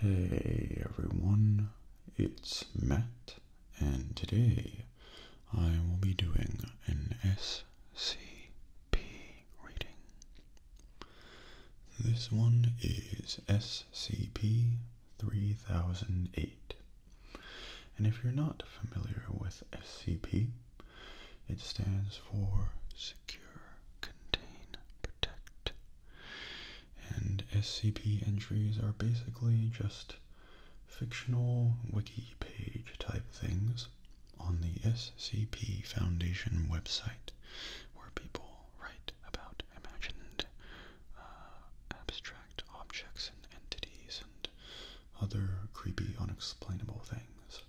Hey everyone, it's Matt, and today I will be doing an SCP reading. This one is SCP 3008. And if you're not familiar with SCP, it stands for Secure, Contain, Protect. And SCP entries are basically just fictional wiki page type things on the SCP Foundation website where people write about imagined uh, abstract objects and entities and other creepy, unexplainable things.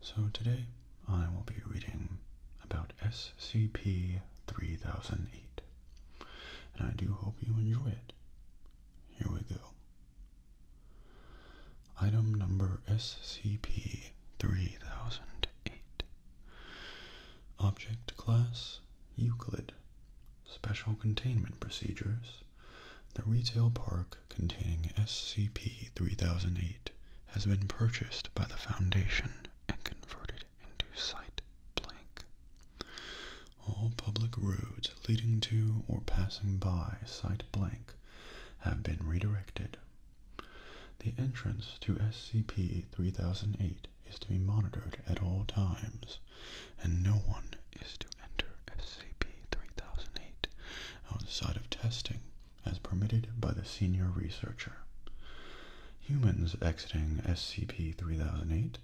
So today I will be reading about SCP 3008, and I do hope you enjoy it. Here we go. Item number SCP 3008 Object class Euclid. Special containment procedures. The retail park containing SCP 3008 has been purchased by the Foundation and converted into Site Blank. All public roads leading to or passing by Site Blank have been redirected. The entrance to SCP 3008 is to be monitored at all times, and no one is to enter SCP-3008 outside of testing as permitted by the senior researcher. Humans exiting SCP-3008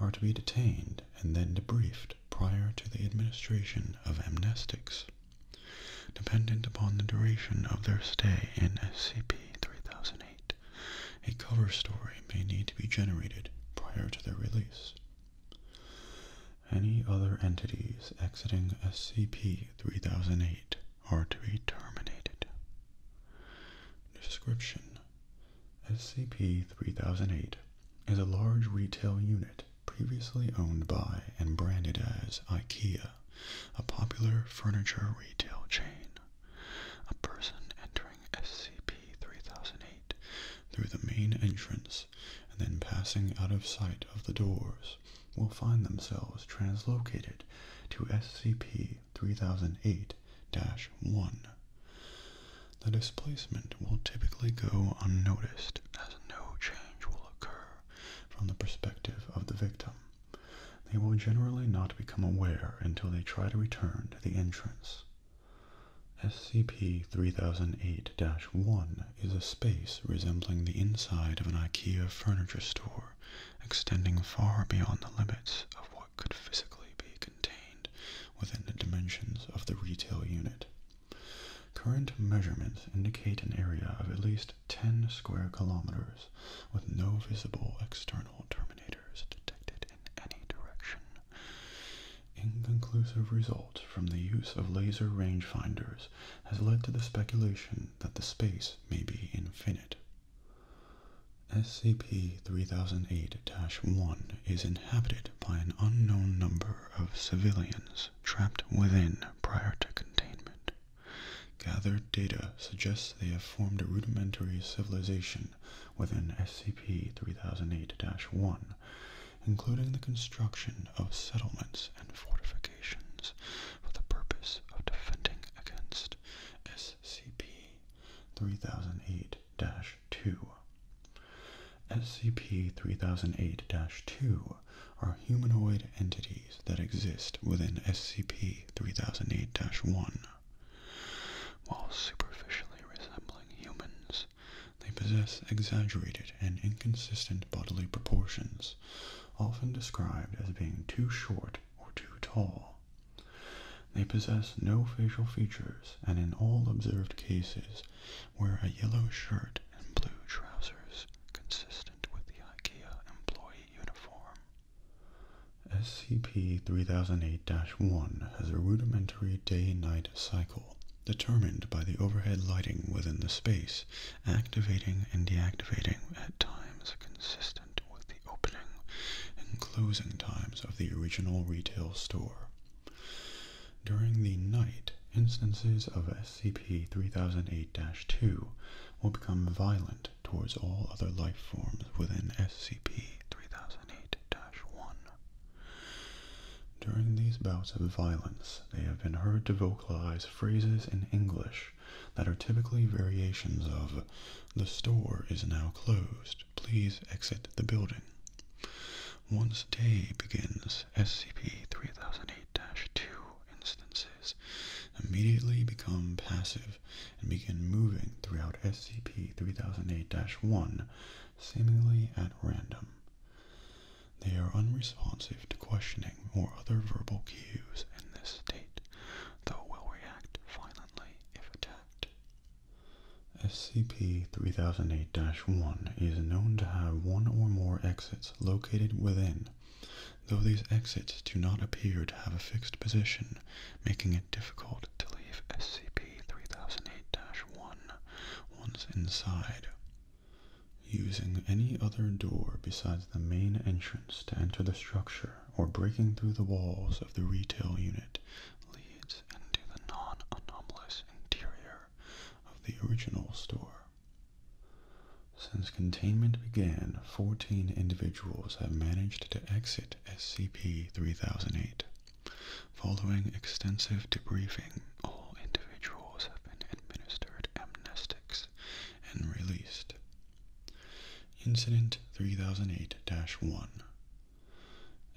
are to be detained and then debriefed prior to the administration of amnestics. Dependent upon the duration of their stay in SCP-3008, a cover story may need to be generated prior to their release. Any other entities exiting SCP-3008 are to be terminated. Description SCP-3008 is a large retail unit previously owned by and branded as IKEA, a popular furniture retail chain. A person entering SCP-3008 through the main entrance and then passing out of sight of the doors will find themselves translocated to SCP-3008-1. The displacement will typically go unnoticed as no change will occur from the perspective of the victim. They will generally not become aware until they try to return to the entrance. SCP-3008-1 is a space resembling the inside of an IKEA furniture store, extending far beyond the limits of what could physically be contained within the dimensions of the retail unit. Current measurements indicate an area of at least 10 square kilometers with no visible external termination detected in any direction. Inconclusive results from the use of laser rangefinders has led to the speculation that the space may be infinite. SCP-3008-1 is inhabited by an unknown number of civilians trapped within prior to containment. Gathered data suggests they have formed a rudimentary civilization within SCP 3008-1, including the construction of settlements and fortifications for the purpose of defending against SCP 3008-2. SCP-3008-2 are humanoid entities that exist within SCP-3008-1 while superficially resembling humans, they possess exaggerated and inconsistent bodily proportions, often described as being too short or too tall. They possess no facial features, and in all observed cases wear a yellow shirt and blue trousers consistent with the IKEA employee uniform. SCP-3008-1 has a rudimentary day-night cycle determined by the overhead lighting within the space, activating and deactivating at times consistent with the opening and closing times of the original retail store. During the night, instances of SCP-3008-2 will become violent towards all other life forms within SCP-3008-1. During these bouts of violence, they have been heard to vocalize phrases in English that are typically variations of, The store is now closed. Please exit the building. Once day begins, SCP-3008-2 instances immediately become passive and begin moving throughout SCP 3008 1, seemingly at random. They are unresponsive to questioning or other verbal cues in this state, though will react violently if attacked. SCP-3008-1 is known to have one or more exits located within, though these exits do not appear to have a fixed position, making it difficult to leave SCP-3008-1 once inside. Using any other door besides the main entrance to enter the structure or breaking through the walls of the retail unit leads into the non-anomalous interior of the original store. Since containment began 14 individuals have managed to exit SCP-3008. Following extensive debriefing, all individuals have been administered amnestics and released. Incident 3008-1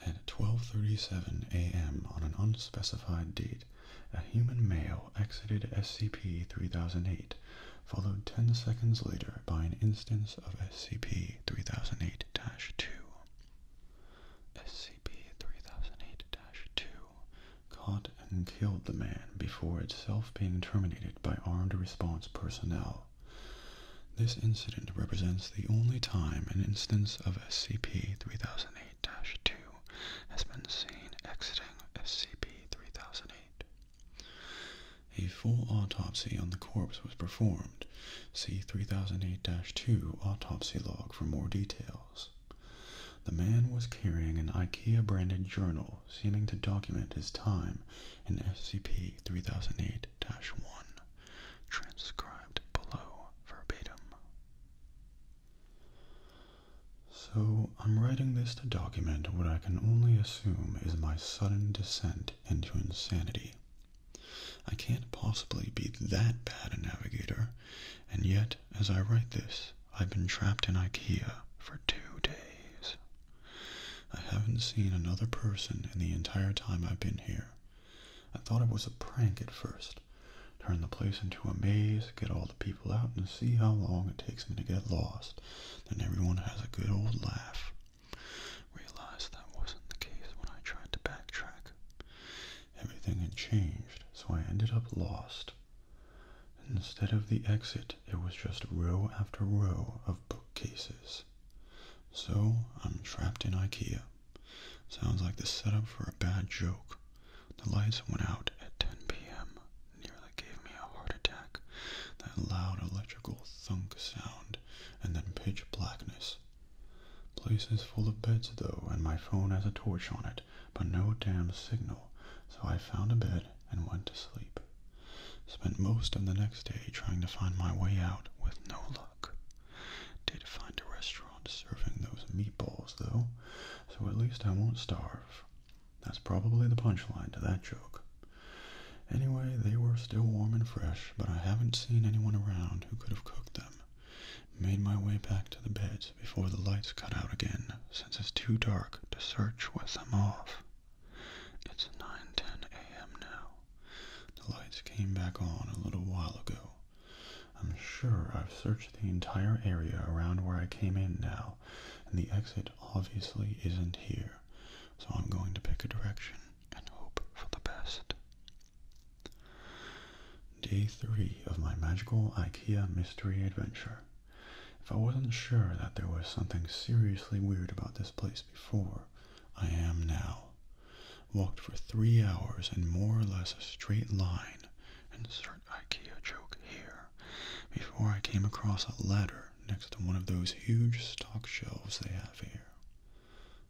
At 12.37 a.m. on an unspecified date, a human male exited SCP-3008 followed 10 seconds later by an instance of SCP-3008-2. SCP-3008-2 caught and killed the man before itself being terminated by armed response personnel. This incident represents the only time an instance of SCP-3008-2 has been seen exiting SCP-3008. A full autopsy on the corpse was performed. See 3008-2 autopsy log for more details. The man was carrying an IKEA branded journal seeming to document his time in SCP 3008 1, transcribed below verbatim. So, I'm writing this to document what I can only assume is my sudden descent into insanity. I can't possibly be that bad a navigator, and yet, as I write this, I've been trapped in IKEA for two days. I haven't seen another person in the entire time I've been here. I thought it was a prank at first. Turn the place into a maze, get all the people out, and see how long it takes me to get lost. Then everyone has a good old laugh. Realized that wasn't the case when I tried to backtrack. Everything had changed, so I ended up lost. Instead of the exit, it was just row after row of bookcases. So I'm trapped in IKEA. Sounds like the setup for a bad joke. The lights went out at 10 p.m that gave me a heart attack. That loud electrical thunk sound, and then pitch blackness. Place is full of beds though, and my phone has a torch on it, but no damn signal, so I found a bed and went to sleep. Spent most of the next day trying to find my way out with no luck. Did find a restaurant serving those meatballs though, so at least I won't starve. That's probably the punchline to that joke. Anyway, they were still warm and fresh, but I haven't seen anyone around who could have cooked them. Made my way back to the beds before the lights cut out again, since it's too dark to search with them off. It's 9:10 a.m. now. The lights came back on a little while ago. I'm sure I've searched the entire area around where I came in now, and the exit obviously isn't here so I'm going to pick a direction and hope for the best. Day 3 of my magical IKEA mystery adventure. If I wasn't sure that there was something seriously weird about this place before, I am now. Walked for three hours in more or less a straight line, insert IKEA joke here, before I came across a ladder next to one of those huge stock shelves they have here.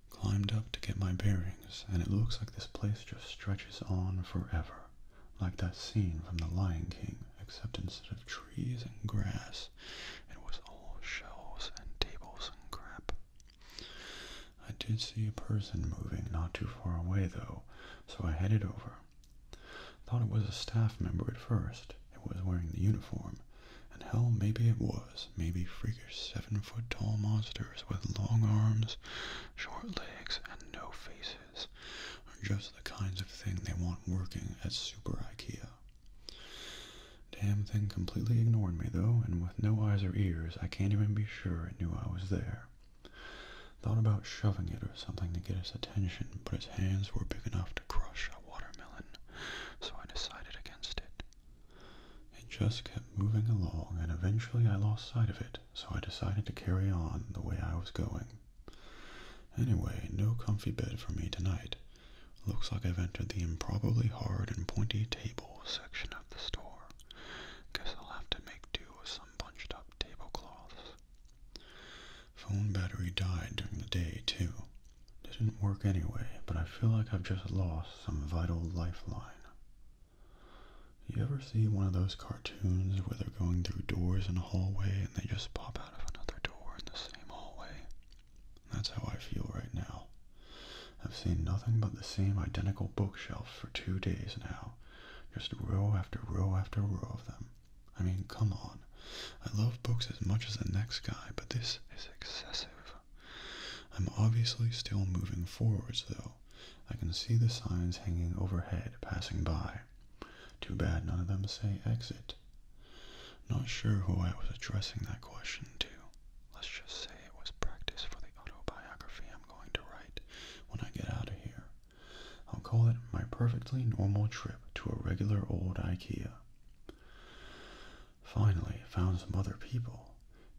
Climbed up to get my bearings, and it looks like this place just stretches on forever, like that scene from The Lion King, except instead of trees and grass, it was all shelves and tables and crap. I did see a person moving not too far away, though, so I headed over. Thought it was a staff member at first, it was wearing the uniform, and hell, maybe it was. Maybe freakish seven-foot-tall monsters with long arms, short legs, and no faces are just the kinds of thing they want working at Super IKEA. Damn thing completely ignored me, though, and with no eyes or ears, I can't even be sure it knew I was there. Thought about shoving it or something to get its attention, but its hands were big enough crush a watermelon, so I decided against it. It just kept moving along, and eventually I lost sight of it, so I decided to carry on the way I was going. Anyway, no comfy bed for me tonight. Looks like I've entered the improbably hard and pointy table section of the store. Guess I'll have to make do with some bunched up tablecloths. Phone battery died during the day, too. Didn't work anyway, but I feel like I've just lost some vital lifeline. You ever see one of those cartoons where they're going through doors in a hallway and they just pop out of another door in the same hallway? That's how I feel right now. I've seen nothing but the same identical bookshelf for two days now, just row after row after row of them. I mean, come on. I love books as much as the next guy, but this is excessive. I'm obviously still moving forwards, though. I can see the signs hanging overhead passing by. Too bad none of them say exit. Not sure who I was addressing that question to. Let's just say it was practice for the autobiography I'm going to write when I get out of here. I'll call it my perfectly normal trip to a regular old IKEA. Finally, found some other people.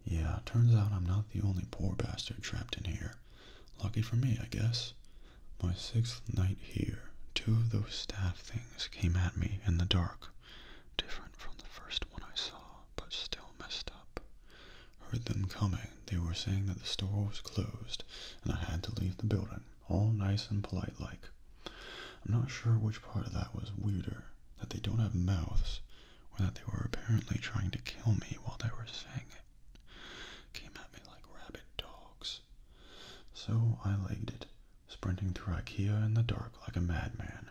Yeah, turns out I'm not the only poor bastard trapped in here. Lucky for me, I guess. My sixth night here, two of those staff things came at me in the dark. Different from the first one I saw, but still messed up. Heard them coming. They were saying that the store was closed and I had to leave the building all nice and polite like. I'm not sure which part of that was weirder, that they don't have mouths, or that they were apparently trying to kill me while they were saying it. Came at me like rabid dogs. So I legged it, sprinting through IKEA in the dark like a madman.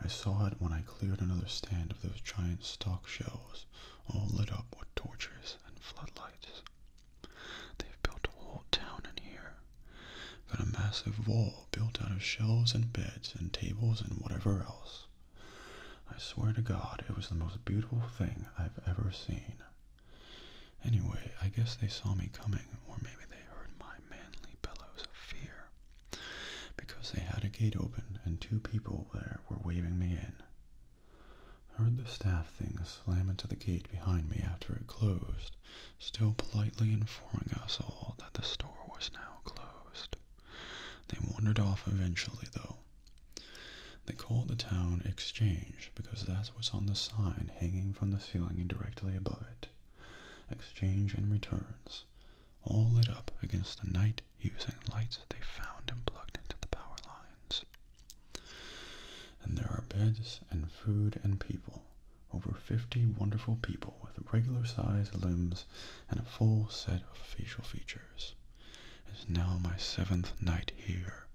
I saw it when I cleared another stand of those giant stock shelves, all lit up with torches and floodlights. They've built a whole town in here. Got a massive wall built out of shelves and beds and tables and whatever else. I swear to God, it was the most beautiful thing I've ever seen. Anyway, I guess they saw me coming, or maybe they heard my manly bellows of fear, because they had a gate open and two people there were waving me in. I heard the staff thing slam into the gate behind me after it closed, still politely informing us all that the store was now closed. They wandered off eventually, though. They called the town Exchange because that was on the sign hanging from the ceiling directly above it. Exchange and returns, all lit up against the night using lights they found and plugged into the power lines. And there are beds and food and people. Over 50 wonderful people with regular sized limbs and a full set of facial features. It is now my seventh night here,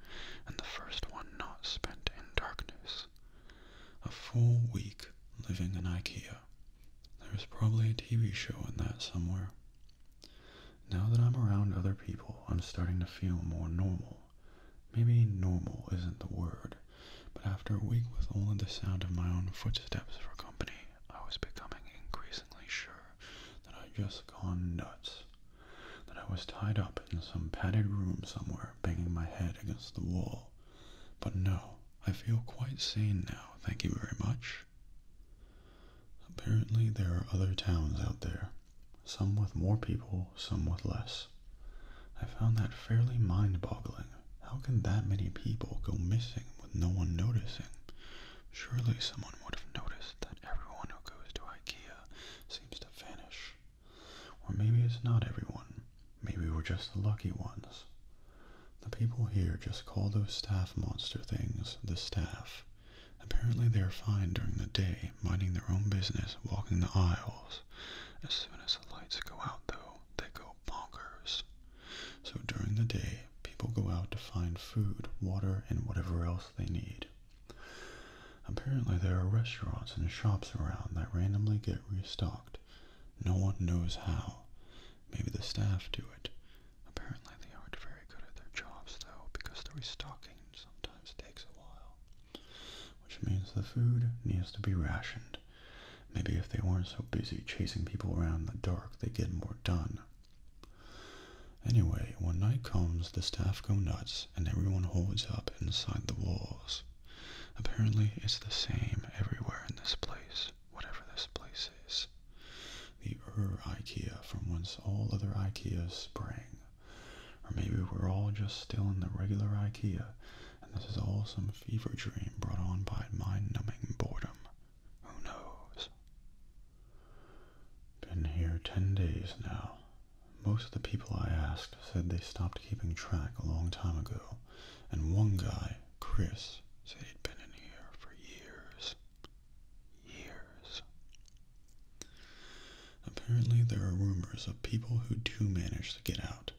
and the first one not spent in darkness. A full week living in IKEA. There's probably a TV show in that somewhere. Now that I'm around other people, I'm starting to feel more normal. Maybe normal isn't the word, but after a week with only the sound of my own footsteps for company, I was becoming increasingly sure that I'd just gone nuts, that I was tied up in some padded room somewhere, banging my head against the wall. But no, I feel quite sane now, thank you very much. Apparently there are other towns out there, some with more people, some with less. I found that fairly mind boggling. How can that many people go missing with no one noticing? Surely someone would have noticed that everyone who goes to IKEA seems to vanish. Or maybe it's not everyone. Maybe we're just the lucky ones. The people here just call those staff monster things the staff. Apparently they are fine during the day, minding their own business, walking the aisles, as soon as the lights go out, though, they go bonkers. So during the day, people go out to find food, water, and whatever else they need. Apparently, there are restaurants and shops around that randomly get restocked. No one knows how. Maybe the staff do it. Apparently, they aren't very good at their jobs, though, because the restocking sometimes takes a while. Which means the food needs to be rationed. Maybe if they weren't so busy chasing people around in the dark, they would get more done. Anyway, when night comes, the staff go nuts and everyone holds up inside the walls. Apparently, it's the same everywhere in this place, whatever this place is. The Ur IKEA from whence all other IKEAs spring. Or maybe we're all just still in the regular IKEA, and this is all some fever dream brought on by mind-numbing boredom. Who knows? Been here ten days now. Most of the people I asked said they stopped keeping track a long time ago, and one guy, Chris, said he'd been in here for years. Years. Apparently, there are rumors of people who do manage to get out,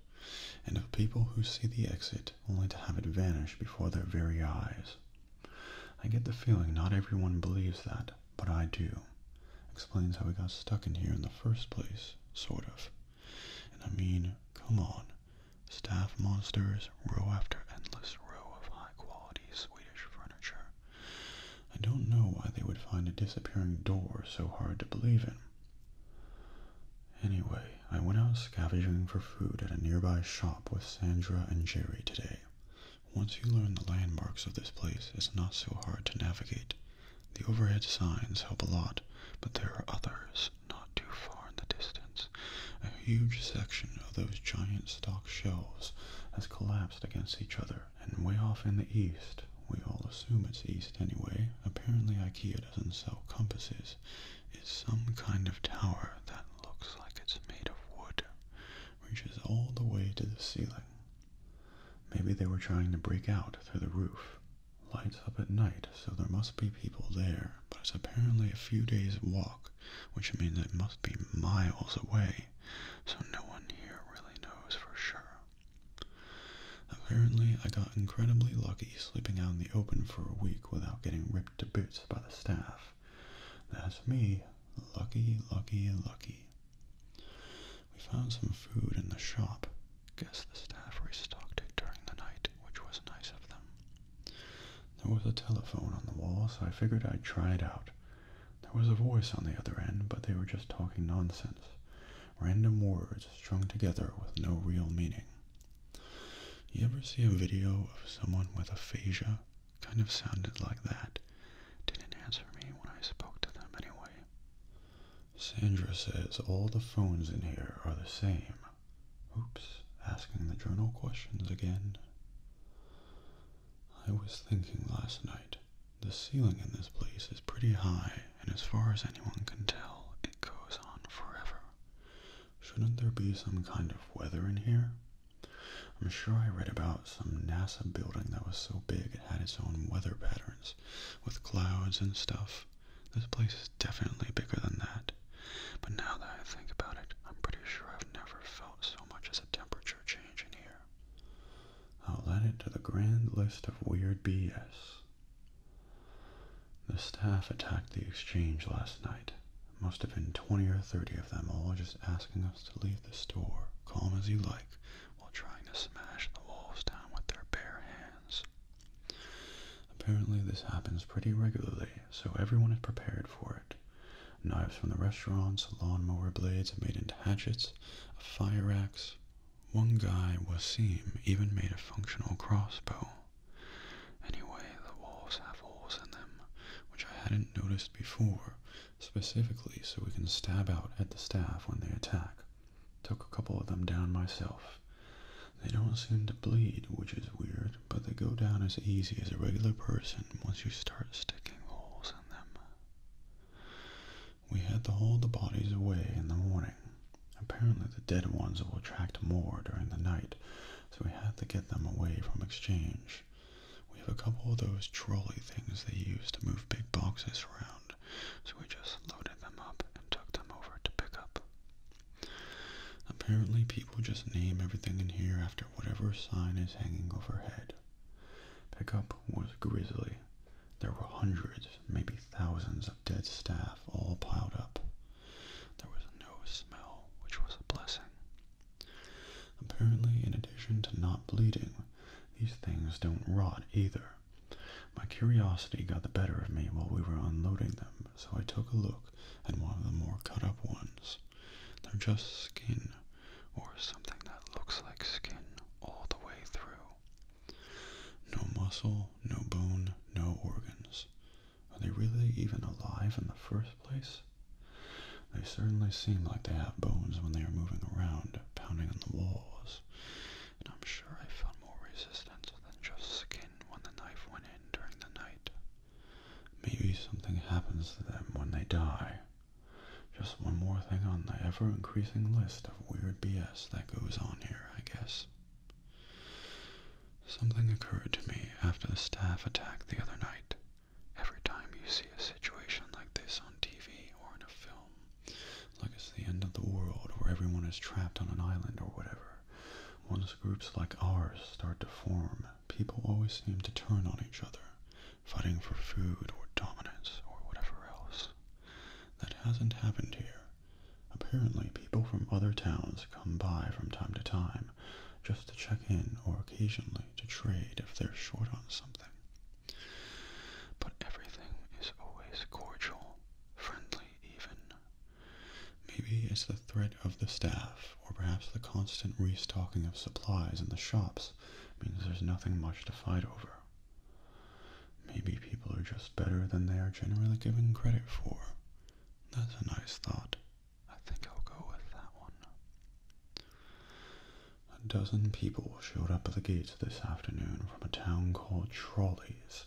and of people who see the exit only to have it vanish before their very eyes. I get the feeling not everyone believes that, but I do. Explains how we got stuck in here in the first place, sort of. And I mean, come on. Staff monsters row after endless row of high quality Swedish furniture. I don't know why they would find a disappearing door so hard to believe in. Anyway, I went out scavenging for food at a nearby shop with Sandra and Jerry today. Once you learn the landmarks of this place, it's not so hard to navigate. The overhead signs help a lot, but there are others not too far in the distance. A huge section of those giant stock shelves has collapsed against each other and way off in the east, we all assume it's east anyway, apparently IKEA doesn't sell compasses, It's some kind of tower that looks like it's made of wood, reaches all the way to the ceiling. Maybe they were trying to break out through the roof. Lights up at night, so there must be people there, but it's apparently a few days' walk, which means it must be miles away, so no one here really knows for sure. Apparently, I got incredibly lucky sleeping out in the open for a week without getting ripped to bits by the staff. That's me. Lucky, lucky, lucky. We found some food in the shop. Guess the staff restocked it during the night, which was nice of them. There was a telephone on the wall, so I figured I'd try it out. There was a voice on the other end, but they were just talking nonsense. Random words strung together with no real meaning. You ever see a video of someone with aphasia? Kind of sounded like that. Didn't answer me when I spoke to them anyway. Sandra says all the phones in here are the same. Oops, asking the journal questions again. I was thinking last night. The ceiling in this place is pretty high, and as far as anyone can tell, it goes on forever. Shouldn't there be some kind of weather in here? I'm sure I read about some NASA building that was so big it had its own weather patterns with clouds and stuff. This place is definitely bigger than that. But now that I think about it, I'm pretty sure I've never felt so much as a temperature change in here. I'll add it to the grand list of weird BS. The staff attacked the exchange last night. must have been 20 or 30 of them, all just asking us to leave the store, calm as you like, while trying to smash the walls down with their bare hands. Apparently this happens pretty regularly, so everyone is prepared for it. Knives from the restaurants, lawnmower blades made into hatchets, a fire axe, one guy, Wasim, even made a functional crossbow. Anyway, the walls have holes in them, which I hadn't noticed before, specifically so we can stab out at the staff when they attack. Took a couple of them down myself. They don't seem to bleed, which is weird, but they go down as easy as a regular person once you start sticking holes in them. We had to haul the bodies away in the morning. Apparently, the dead ones will attract more during the night, so we had to get them away from exchange. We have a couple of those trolley things they use to move big boxes around, so we just loaded them up and took them over to pick up. Apparently, people just name everything in here after whatever sign is hanging overhead. Pickup was grizzly. There were hundreds, maybe thousands of dead staff all piled up. There was no smell, which was a blessing. Apparently, in addition to not bleeding, these things don't rot either. My curiosity got the better of me while we were unloading them, so I took a look at one of the more cut up ones. They're just skin, or something that looks like skin all the way through. No muscle, no bone, no organs. Are they really even alive in the first place? They certainly seem like they have bones when they are moving around, pounding on the walls. And I'm sure I felt more resistance than just skin when the knife went in during the night. Maybe something happens to them when they die. Just one more thing on the ever increasing list of weird BS that goes on here, I guess. Something occurred to me after the staff attack the other night. Every time you see a situation like this on TV or in a film, like it's the end of the world where everyone is trapped on an island or whatever, once groups like ours start to form, people always seem to turn on each other fighting for food or dominance or whatever else. That hasn't happened here. Apparently, people from other towns come by from time to time just to check in or occasionally to trade if they're short on something. But everything is always cordial, friendly even. Maybe it's the threat of the staff, or perhaps the constant restocking of supplies in the shops means there's nothing much to fight over. Maybe people are just better than they are generally given credit for. That's a nice thought. I think I'll go with that one. A dozen people showed up at the gates this afternoon from a town called Trolleys.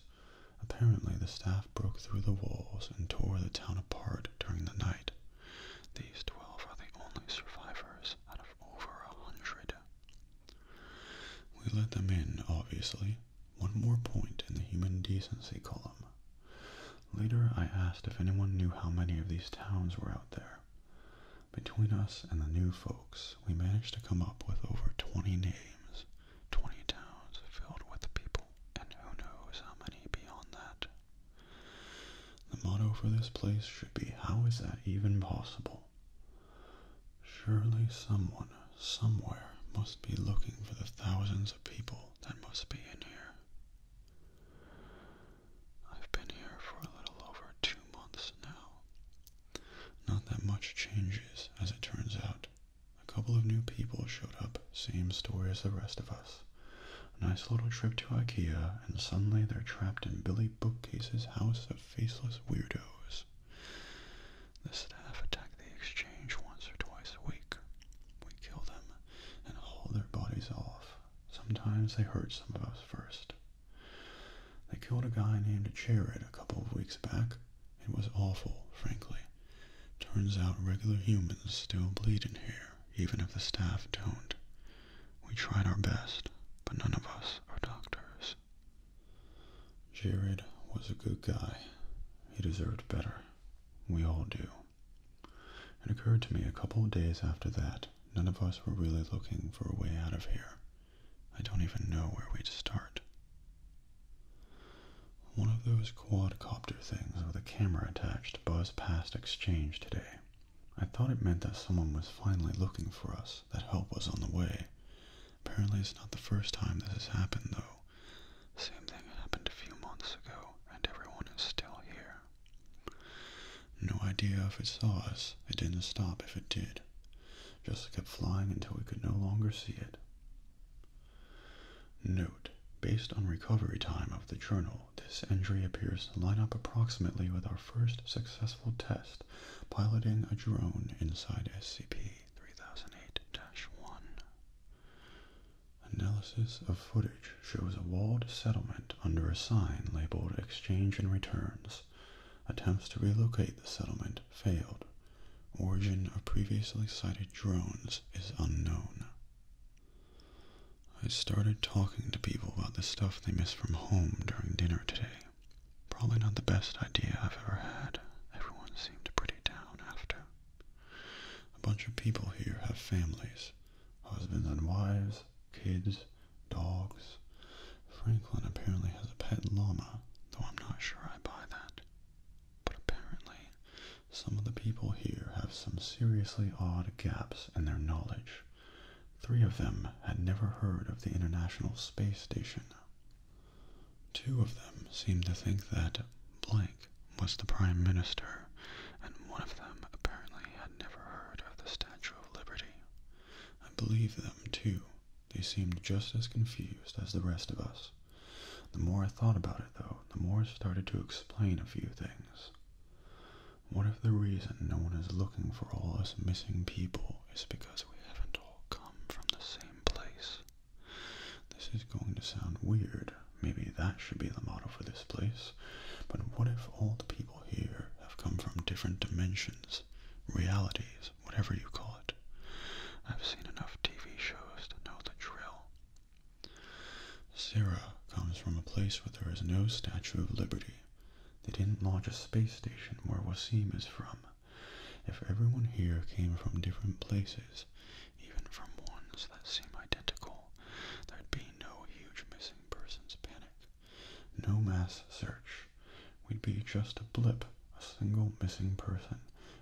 Apparently, the staff broke through the walls and tore the town apart during the night. These twelve are the only survivors out of over a hundred. We let them in, obviously. One more point in the human decency column. Later, I asked if anyone knew how many of these towns were out there. Between us and the new folks, we managed to come up with over 20 names, 20 towns filled with people, and who knows how many beyond that. The motto for this place should be How is that even possible? Surely someone, somewhere, must be looking for the thousands of people that must be in here. I've been here for a little over two months now. Not that much changes, as it turns out. A couple of new people showed up, same story as the rest of us. A nice little trip to Ikea, and suddenly they're trapped in Billy Bookcase's house of faceless weirdos. The staff attack the exchange once or twice a week. We kill them and haul their bodies off. Sometimes they hurt some of us first. They killed a guy named Jared a couple of weeks back. It was awful, frankly. Turns out regular humans still bleed in here, even if the staff don't. We tried our best, but none of us are doctors. Jared was a good guy. He deserved better. We all do. It occurred to me a couple of days after that, none of us were really looking for a way out of here. I don't even know where we'd start. One of those quadcopter things with a camera attached buzzed past Exchange today. I thought it meant that someone was finally looking for us, that help was on the way. Apparently it's not the first time this has happened, though. Same thing happened a few months ago, and everyone is still here. No idea if it saw us. It didn't stop if it did. Just kept flying until we could no longer see it. Note, based on recovery time of the journal, this entry appears to line up approximately with our first successful test piloting a drone inside SCP-3008-1. Analysis of footage shows a walled settlement under a sign labeled Exchange and Returns. Attempts to relocate the settlement failed. Origin of previously cited drones is unknown. I started talking to people about the stuff they miss from home during dinner today. Probably not the best idea I've ever had. Everyone seemed pretty down after. A bunch of people here have families, husbands and wives, kids, dogs. Franklin apparently has a pet llama, though I'm not sure I buy that. But apparently, some of the people here have some seriously odd gaps in their knowledge three of them had never heard of the International Space Station. Two of them seemed to think that blank was the Prime Minister, and one of them apparently had never heard of the Statue of Liberty. I believe them, too. They seemed just as confused as the rest of us. The more I thought about it, though, the more I started to explain a few things. What if the reason no one is looking for all us missing people is because we haven't all come from the same place. This is going to sound weird. Maybe that should be the motto for this place. But what if all the people here have come from different dimensions, realities, whatever you call it? I've seen enough TV shows to know the drill. Sarah comes from a place where there is no Statue of Liberty. They didn't launch a space station where Wasim is from. If everyone here came from different places, even from ones that seem identical, there'd be no huge missing persons panic, no mass search. We'd be just a blip, a single missing person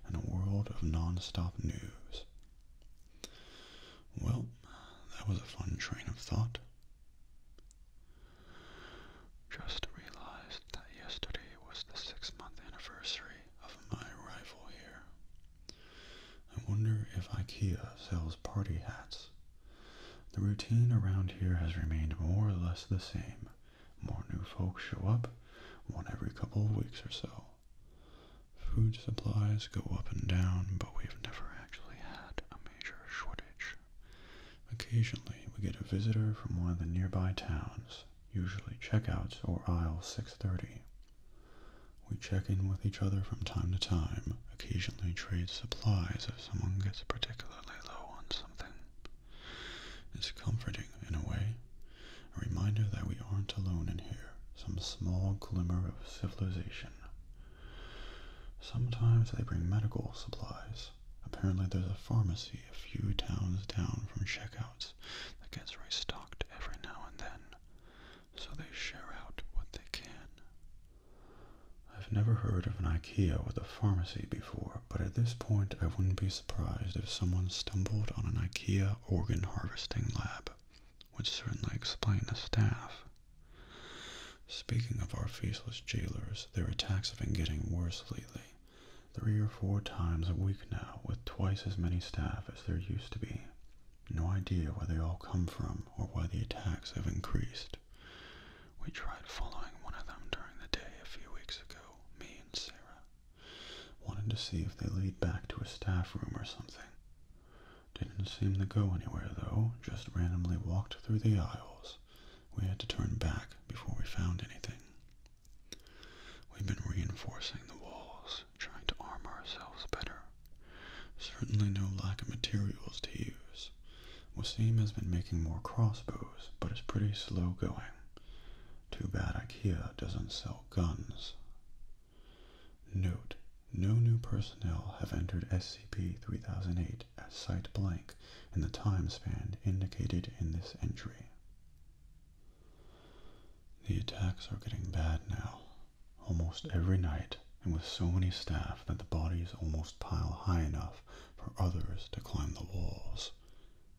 in a world of non-stop news. Well, that was a fun train of thought. Just realized that yesterday was the six month anniversary of my arrival here. I wonder if IKEA sells party hats. The routine around here has remained more or less the same. More new folks show up, one every couple of weeks or so. Food supplies go up and down, but we've never actually had a major shortage. Occasionally, we get a visitor from one of the nearby towns, usually checkouts or aisle 630. We check in with each other from time to time, occasionally trade supplies if someone gets particularly low on something. It's comforting, in a way, a reminder that we aren't alone in here, some small glimmer of civilization. Sometimes they bring medical supplies, Apparently, there's a pharmacy a few towns down from checkouts that gets restocked every now and then, so they share out what they can. I've never heard of an IKEA with a pharmacy before, but at this point, I wouldn't be surprised if someone stumbled on an IKEA organ harvesting lab, which certainly explains the staff Speaking of our faceless jailers, their attacks have been getting worse lately. Three or four times a week now, with twice as many staff as there used to be. No idea where they all come from or why the attacks have increased. We tried following one of them during the day a few weeks ago, me and Sarah. Wanted to see if they lead back to a staff room or something. Didn't seem to go anywhere though, just randomly walked through the aisles we had to turn back before we found anything. We've been reinforcing the walls, trying to arm ourselves better. Certainly no lack of materials to use. Wasim has been making more crossbows, but it's pretty slow going. Too bad IKEA doesn't sell guns. Note, no new personnel have entered SCP-3008 date as site blank in the time span indicated in this entry. The attacks are getting bad now, almost every night, and with so many staff that the bodies almost pile high enough for others to climb the walls.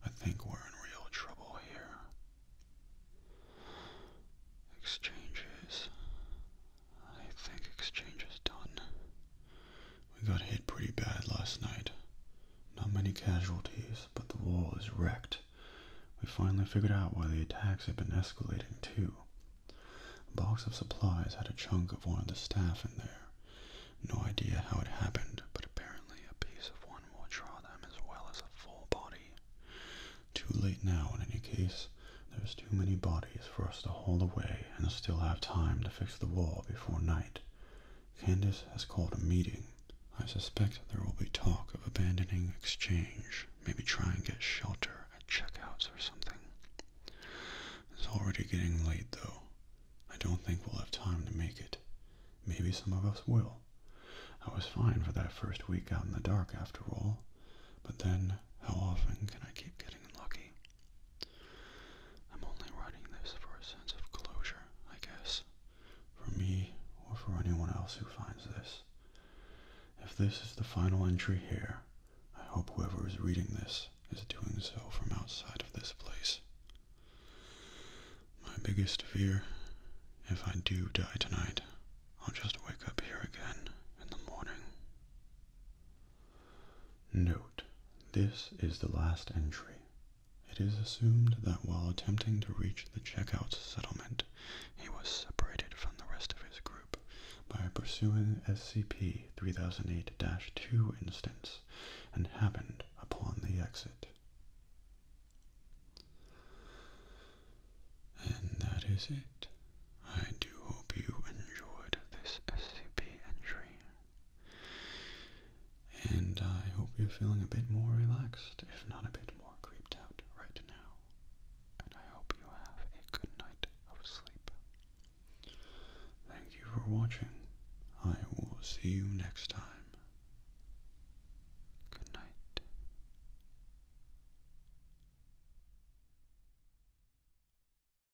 I think we're in real trouble here. Exchanges. I think exchanges done. We got hit pretty bad last night. Not many casualties, but the wall is wrecked. We finally figured out why the attacks have been escalating, too. A box of supplies had a chunk of one of the staff in there. No idea how it happened, but apparently a piece of one will draw them as well as a full body. Too late now, in any case. There's too many bodies for us to hold away and still have time to fix the wall before night. Candace has called a meeting. I suspect there will be talk of abandoning exchange, maybe try and get shelter at checkouts or something. It's already getting late, though. I don't think we'll have time to make it. Maybe some of us will. I was fine for that first week out in the dark, after all. But then, how often can I keep getting lucky? I'm only writing this for a sense of closure, I guess. For me, or for anyone else who finds this. If this is the final entry here, I hope whoever is reading this is doing so from outside of this place. My biggest fear, if I do die tonight, I'll just wake up here again in the morning. Note, this is the last entry. It is assumed that while attempting to reach the checkout settlement, he was separated from the rest of his group by pursuing SCP-3008-2 instance and happened upon the exit. And that is it. I do hope you enjoyed this SCP entry and I hope you're feeling a bit more relaxed, if not a bit more creeped out right now. And I hope you have a good night of sleep. Thank you for watching. I will see you next time. Good night.